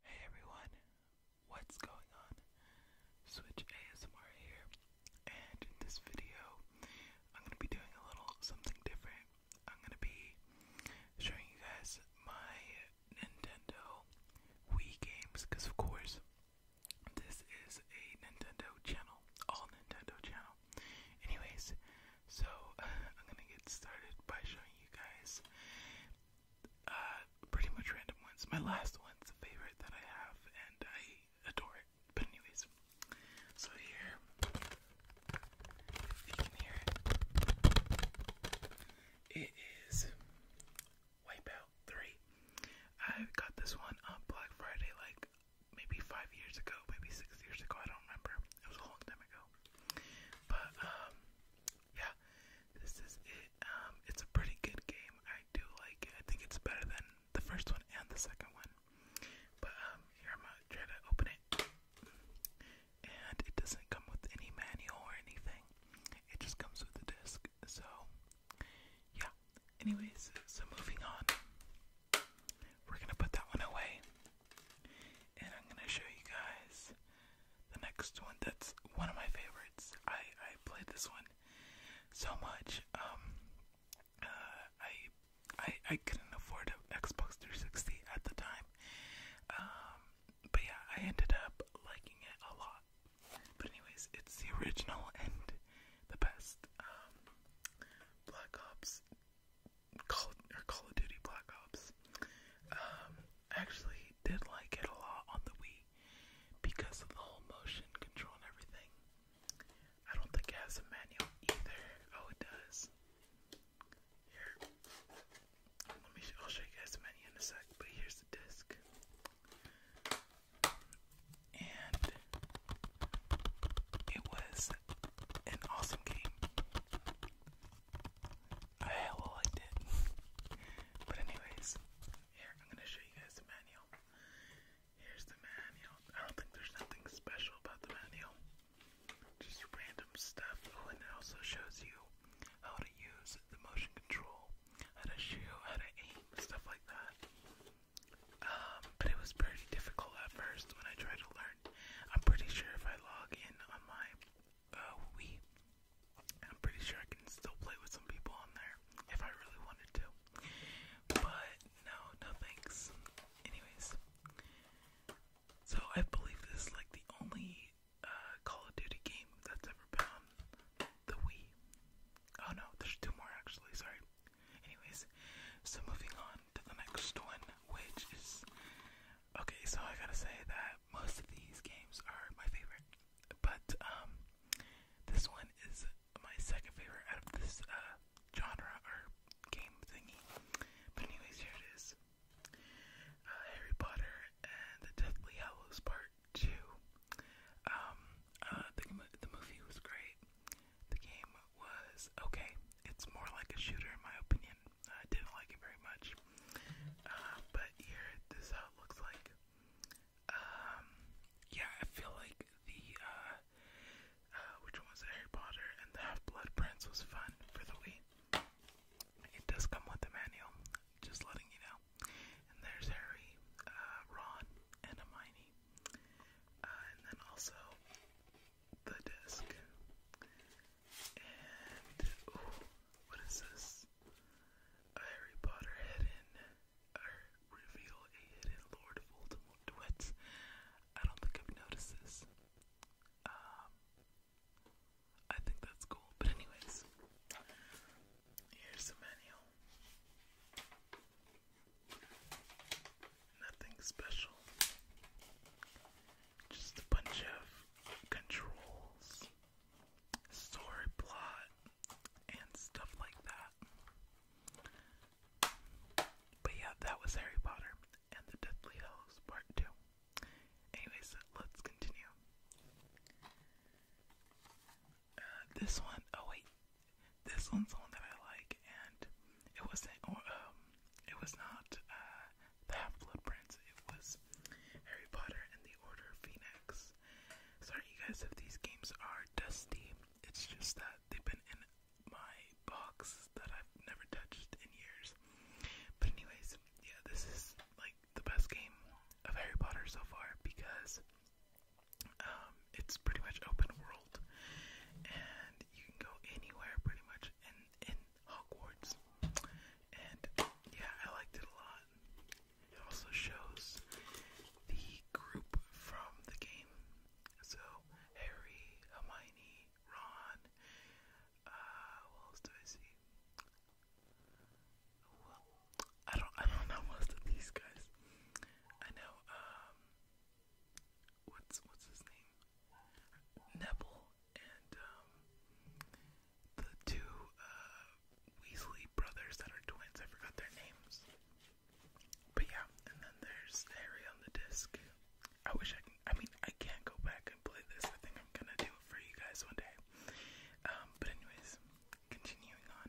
Hey everyone, what's going on? Switch ASMR here, and in this video, I'm gonna be doing a little something different. I'm gonna be showing you guys my Nintendo Wii games, because of course, this is a Nintendo channel, all Nintendo channel. Anyways, so I'm gonna get started by showing you guys uh, pretty much random ones. My last one's a favorite that I have, and I adore it. But anyways, so here you can hear it. It is Wipeout 3. I got this one on Black Friday, like maybe five years ago, maybe six years ago. I don't remember. It was a long time ago. But um, yeah, this is it. Um, it's a pretty good game. I do like it. I think it's better than the first one and the second one. But um, here I'm gonna try to open it, and it doesn't come with any manual or anything. It just comes with the disc. So, yeah. Anyways, so moving on. We're gonna put that one away and I'm gonna show you guys the next one. That's one of my favorites. I I played this one so much. Um, uh, I I I couldn't afford an Xbox 360 at the time. Um, but yeah, I ended up liking it a lot. But anyways, it's the original and the best. Um, Black Ops Call or Call of Duty Black Ops. Um, actually did like it a lot on the Wii because of the whole motion control and everything. I don't think it has a manual either. Oh, it does. Here, let me. I'll show you guys the menu in a sec. But here's the disc, and it was an awesome game hell I did. but anyways, here I'm gonna show you guys the manual. Here's the manual. I don't think there's nothing special about the manual. Just random stuff. Oh, and it also shows you how to use the motion control, how to shoot, how to aim, stuff like that. Um, but it was pretty difficult at first when I tried to learn I'm pretty sure if I log in on my uh, Wii, I'm pretty sure I can still play with some people on there if I really wanted to. But no, no thanks. Anyways, so I believe this is like the only uh, Call of Duty game that's ever been on the Wii. Oh no, there's two more actually, sorry. Anyways, so moving on to the next one, which is Okay, so I gotta say that most of these games are my favorite, but um, this one is my second favorite out of this uh, genre or game thingy. But anyways, here it is: uh, Harry Potter and the Deathly Hallows Part Two. Um, uh, the the movie was great. The game was okay. It's more like a shooter in my opinion, I didn't like it very much. Uh, but here, this is how it looks like. Um, yeah, I feel like the, uh, uh, which one was it? Harry Potter and the Half-Blood Prince was fun for the Wii. It does come with a manual, just letting you know. And there's Harry, uh, Ron, and Hermione. Uh, and then also the disc. And what is this? Harry Potter hidden or reveal a hidden Lord Voldemort I don't think I've noticed this. Um, I think that's cool. But anyways, here's the menu. Nothing special. Just a bunch of controls, story plot, and stuff like that. But yeah, that was Harry Potter and the Deathly Hallows Part 2. Anyways, let's continue. Uh, this one, oh wait, this one's one that I like, and it wasn't oh, um, it was not uh, the Half Blood Prince, it was Harry Potter and the Order of Phoenix. Sorry, you guys, if these games are dusty, it's just that they've been in my box that I've never touched in years. But, anyways, yeah, this is like the best game of Harry Potter so far because um, it's pretty much open world, and you can go anywhere pretty much in in Hogwarts. And yeah, I liked it a lot. It also shows the group from the game, so Harry, Hermione, Ron. Uh, what else do I see? Well, I don't, I don't know most of these guys. I know, um, what's what's his name? Neville and um, the two uh, Weasley brothers that are twins, I forgot their names. But yeah, and then there's Harry on the disc. I wish I can I mean I can't go back and play this. I think I'm gonna do it for you guys one day. Um, but anyways, continuing on.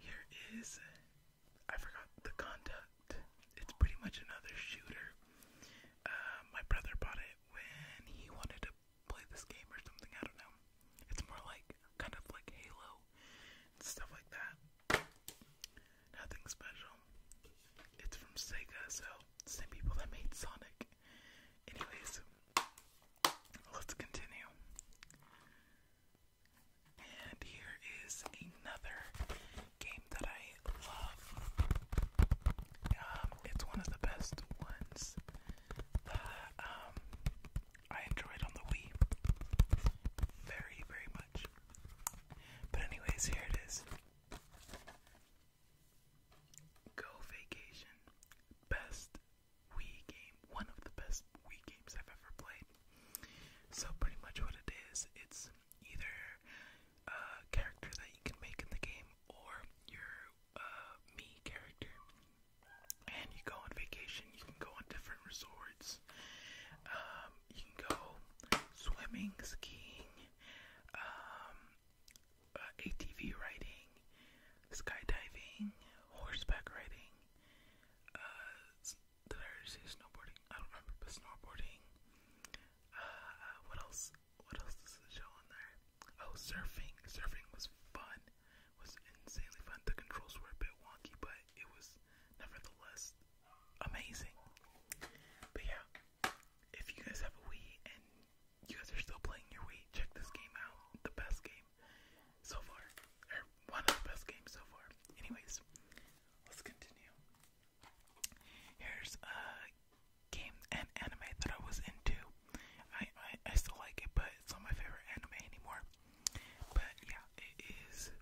Here is I forgot the conduct. It's pretty much another shooter. Uh, my brother bought it when he wanted to play this game or something. I don't know. It's more like kind of like Halo stuff like that. Nothing special. It's from Sega, so same people that made Sonic. Anyways, let's continue. And here is another game that I love. Um, it's one of the best ones that um, I enjoyed on the Wii very, very much. But, anyways, here it is Go Vacation. Best Wii game. One of the best Wii games I've ever played. So pretty much what it is, it's either a character that you can make in the game or your uh, me character. And you go on vacation, you can go on different resorts, um, you can go swimming, skiing, um, uh, ATV riding, skydiving, horseback riding, uh, did I already say snowboarding? I don't remember, but snowboarding. Uh, uh, what else? What else does it show on there? Oh, surfing. Surfing was fun. Was insanely fun. The controls were a bit wonky, but it was nevertheless amazing. But yeah, if you guys have a Wii and you guys are still playing your Wii, check this game out. The best game so far, or one of the best games so far. Anyways, Let's continue. Here's a game and anime that I was into. I, I, still like it, but it's not my favorite anime anymore. But yeah, it is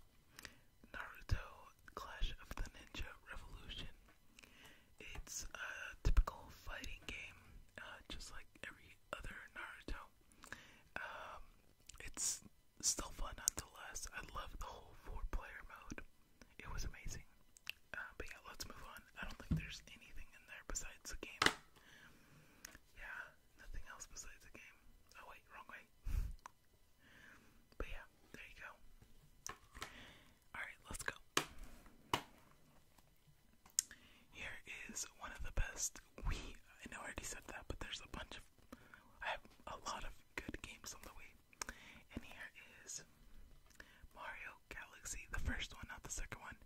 Naruto Clash of the Ninja Revolution. It's a typical fighting game, uh, just like every other Naruto. Um, it's still fun nonetheless. I love the whole four-player mode. It was amazing. Uh, but yeah, let's move on. I don't think there's anything in there besides the game. Yeah, nothing else besides the game. Oh wait, wrong way. but yeah, there you go. Alright, let's go. Here is one of the best we, I know I already said that, but there's a bunch of, I have a lot of good games on the way. And here is Mario Galaxy, the first one, not the second one.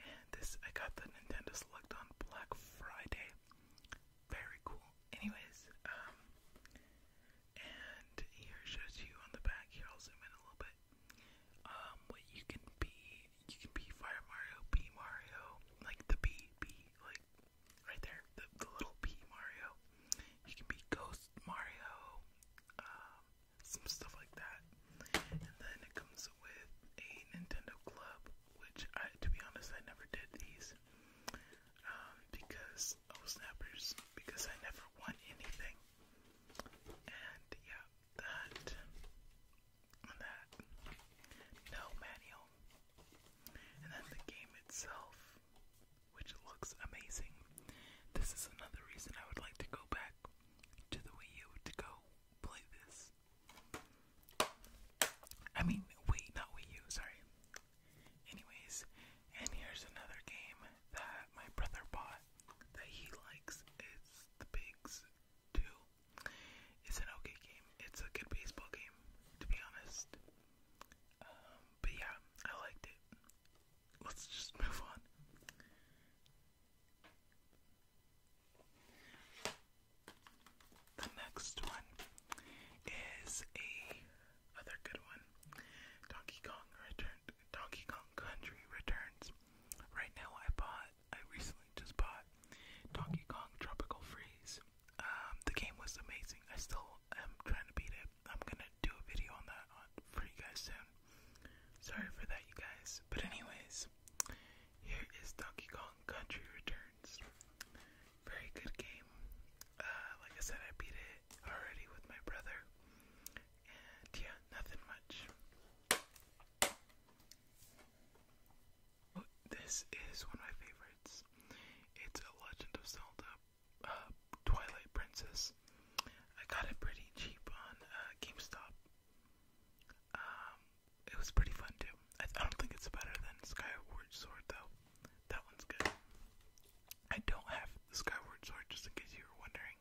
And this, I got the Nintendo Select on Black Friday. Very cool. Anyways, um, and here shows you on the back. Here, I'll zoom in a little bit. Um, what you can be, you can be Fire Mario, be Mario, like the B, B, like right there, the, little P Mario. You can be Ghost Mario, um, some stuff like that. And then it comes with a Nintendo Club, which I, to be honest, I never did these um, because oh snappers, because I never won anything. And yeah, that that no manual, and then the game itself, which looks amazing. This is another reason I would like to go back to the Wii U to go play this. I mean, wait, not Wii U, sorry. Anyways, and here's another game that my brother bought that he likes. It's The Pigs 2. It's an okay game. It's a good baseball game, to be honest. Um, but yeah, I liked it. Let's just move on. The next one is a other good one. Donkey Kong Return Donkey Kong Country Returns. Right now I bought bought, I recently just bought Donkey Kong Tropical Freeze. Um, the game was amazing. I still am trying to beat it. I'm gonna do a video on that for you guys soon. Sorry for that, you guys. But anyways, here is Donkey Kong Country Returns. Very good game. Uh, like I said, I beat it already with my brother. And yeah, nothing much. This is one of my favorites. It's a Legend of Zelda uh, Twilight Princess. I got it pretty cheap on uh, GameStop. Um, it was pretty fun too. I, I don't think it's better than Skyward Sword though. That one's good. I don't have the Skyward Sword, just in case you were wondering.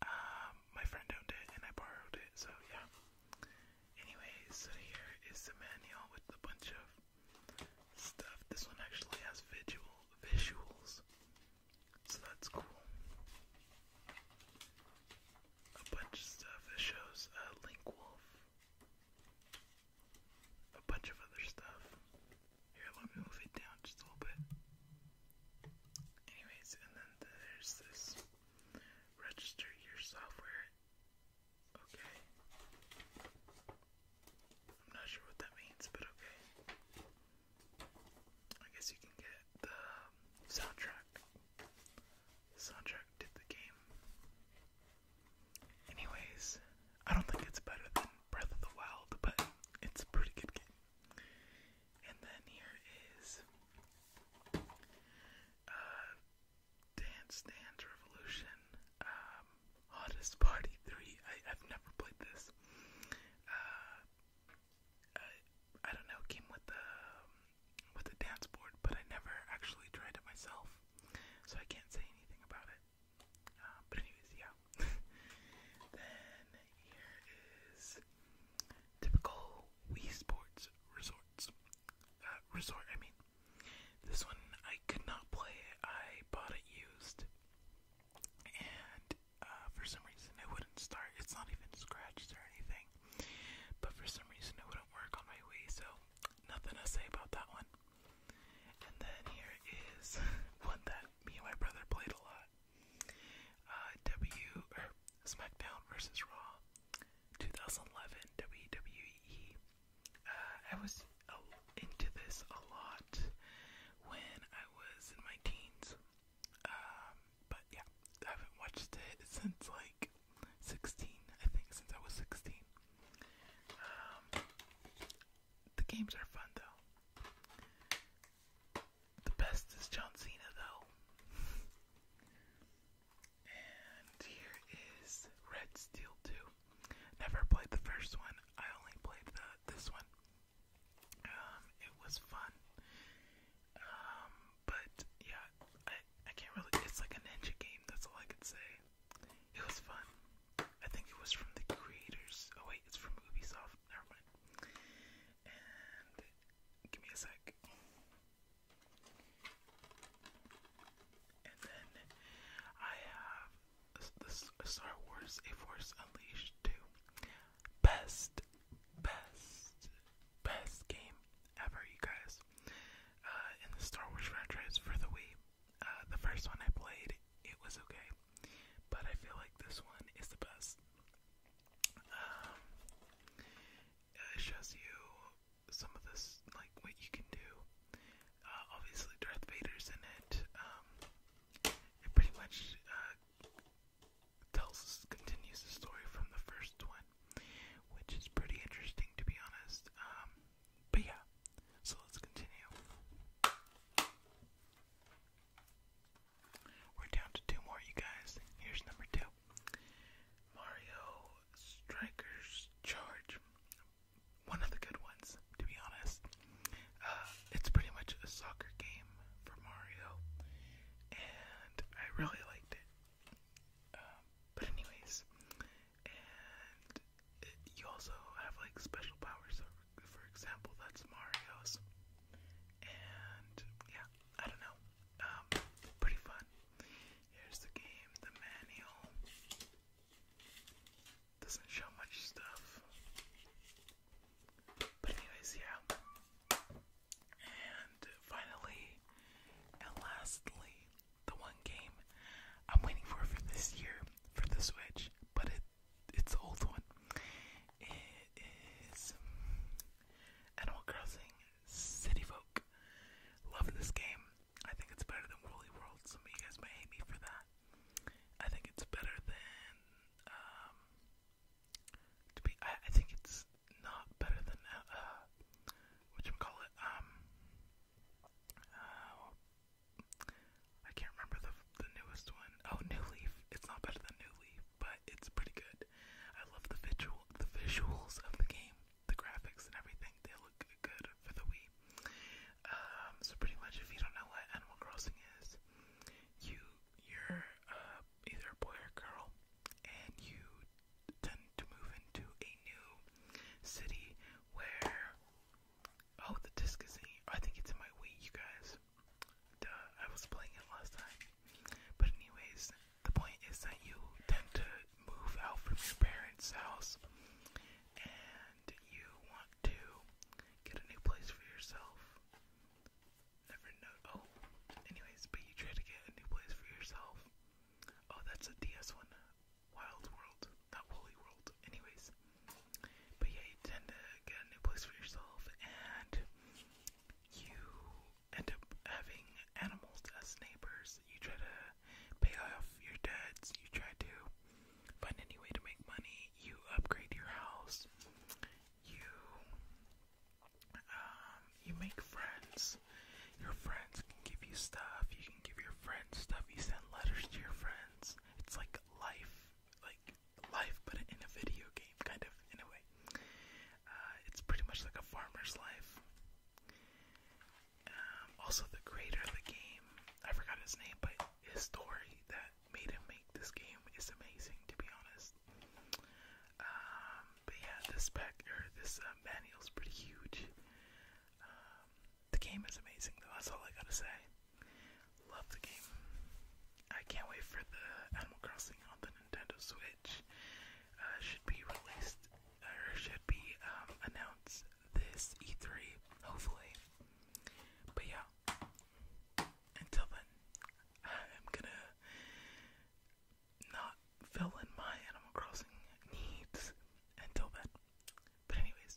Um, my friend owned it and I borrowed it, so yeah. Anyways, so here is the manual with a bunch of stuff. This one actually has visual visuals, so that's cool. A bunch of stuff that shows uh, Link Wolf. A bunch of other stuff. Here, let me move it down just a little bit. Anyways, and then there's this Register your software. Okay. I'm not sure what that means, but okay. I guess you can get the um, soundtrack. soundtrack did the game. Anyways, I don't think it's better than Breath of the Wild, but it's a pretty good game. And then here is uh, Dance Dance Revolution, um, Hottest Party 3. I, I've never played this. Uh, I, I don't know, came with the, um, with the dance board, but I never actually tried it myself, so I can't say anything about it. Uh, but anyways, yeah. then here is typical Wii Sports resorts. Uh, resort, I mean. This one I could not play. I bought it used, and uh, for some reason it wouldn't start. It's not even scratched or anything, but for some reason it wouldn't work on my Wii. So nothing to say about that one. And then here is one that me and my brother played a lot. Uh, w or SmackDown versus Raw, 2011 WWE. Uh, I was into this a lot when I was in my teens, um, but yeah, I haven't watched it since like 16. I think since I was 16. Um, the games are fun though. The best is John Cena, though. and here is Red Steel 2. Never played the first one. I only played the this one. Um, it was fun. Um, but yeah, I I can't really. It's like a ninja game. That's all I could say. It was fun. I think it was from the creators. Oh wait, it's from Ubisoft. Never mind give me a sec. And then I have the Star Wars A Force Unleashed 2. Best, best, best game ever, you guys. Uh, in the Star Wars franchise for the Wii. Uh, the first one I played, it was okay. But I feel like this one is the best. Um, it shows you some of this, like what you can do. Uh, obviously, Darth Vader's in it. Um, it pretty much uh, tells continues the story from the first one, which is pretty interesting to be honest. Um, but yeah, so let's continue. We're down to two more, you guys. Here's number two Mario Strikers Charge. One of the good ones, to be honest. Uh, it's pretty much a soccer game for Mario, and I really liked it. Um, but, anyways, and you also have like special powers, for example, that's Mario's. And yeah, I don't know. Um, pretty fun. Here's the game, the manual. Doesn't show much stuff. But anyways, yeah. And finally, and lastly, the one game I'm waiting for for this year for the Switch, but it its old one. It is Animal Crossing City Folk. Love this game. I think it's better than Woolly World. Some of you guys might hate me for that. I think it's better than um, to be I, think it's not better than uh, uh whatchamacallit, um uh, I can't remember the the newest one. Oh, New Leaf. It's not better than New Leaf but it's pretty good. I love the visual, the visuals of the game, the graphics and everything. They look good for the Wii. Um, so pretty much, if you don't know what Animal Crossing is, you you're uh, either a boy or a girl, and you tend to move into a new city where. Oh, the disc is in. I think it's in my Wii, you guys. Duh, I was playing it last time. But anyways, the point is that you tend to move out from your parents' house and you want to get a new place for yourself. Never know. Oh, anyways, but you try to get a new place for yourself. Oh, that's a DS one. Wild World, not Woolly World. Anyways, but yeah, you tend to get a new place for yourself, and you end up having animals as neighbors. You try to pay off your debts, you try to find any way to make money, you upgrade your house, you um, you make friends. Your friends can give you stuff, you can give your friends stuff, you send letters to your friends. It's like life, like life, but in a video game, kind of, in a way. Uh, it's pretty much like a farmer's life. Um, also, the creator of the game, I forgot his name, but his story that made him make this game is amazing, to be honest. Um, but yeah, this pack, or this uh, manual's pretty huge. Um, the game is amazing, though, that's all I gotta say. Love the game. I can't wait for the Animal Crossing on the Nintendo Switch. Uh, should be released or should be um, announced this E3, hopefully. But yeah, until then, I'm gonna not fill in my Animal Crossing needs. Until then, but anyways,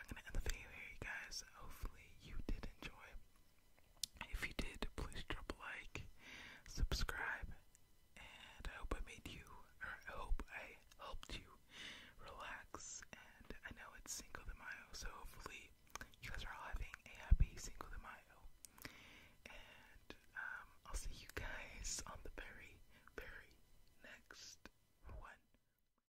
I'm gonna end the video here, guys. Hopefully you did enjoy. If you did, please drop a like, subscribe, and I hope I made you, or I hope I helped you relax. And I know it's Cinco de Mayo, so hopefully you guys are all having a happy single de Mayo. And um, I'll see you guys on the very, very next one.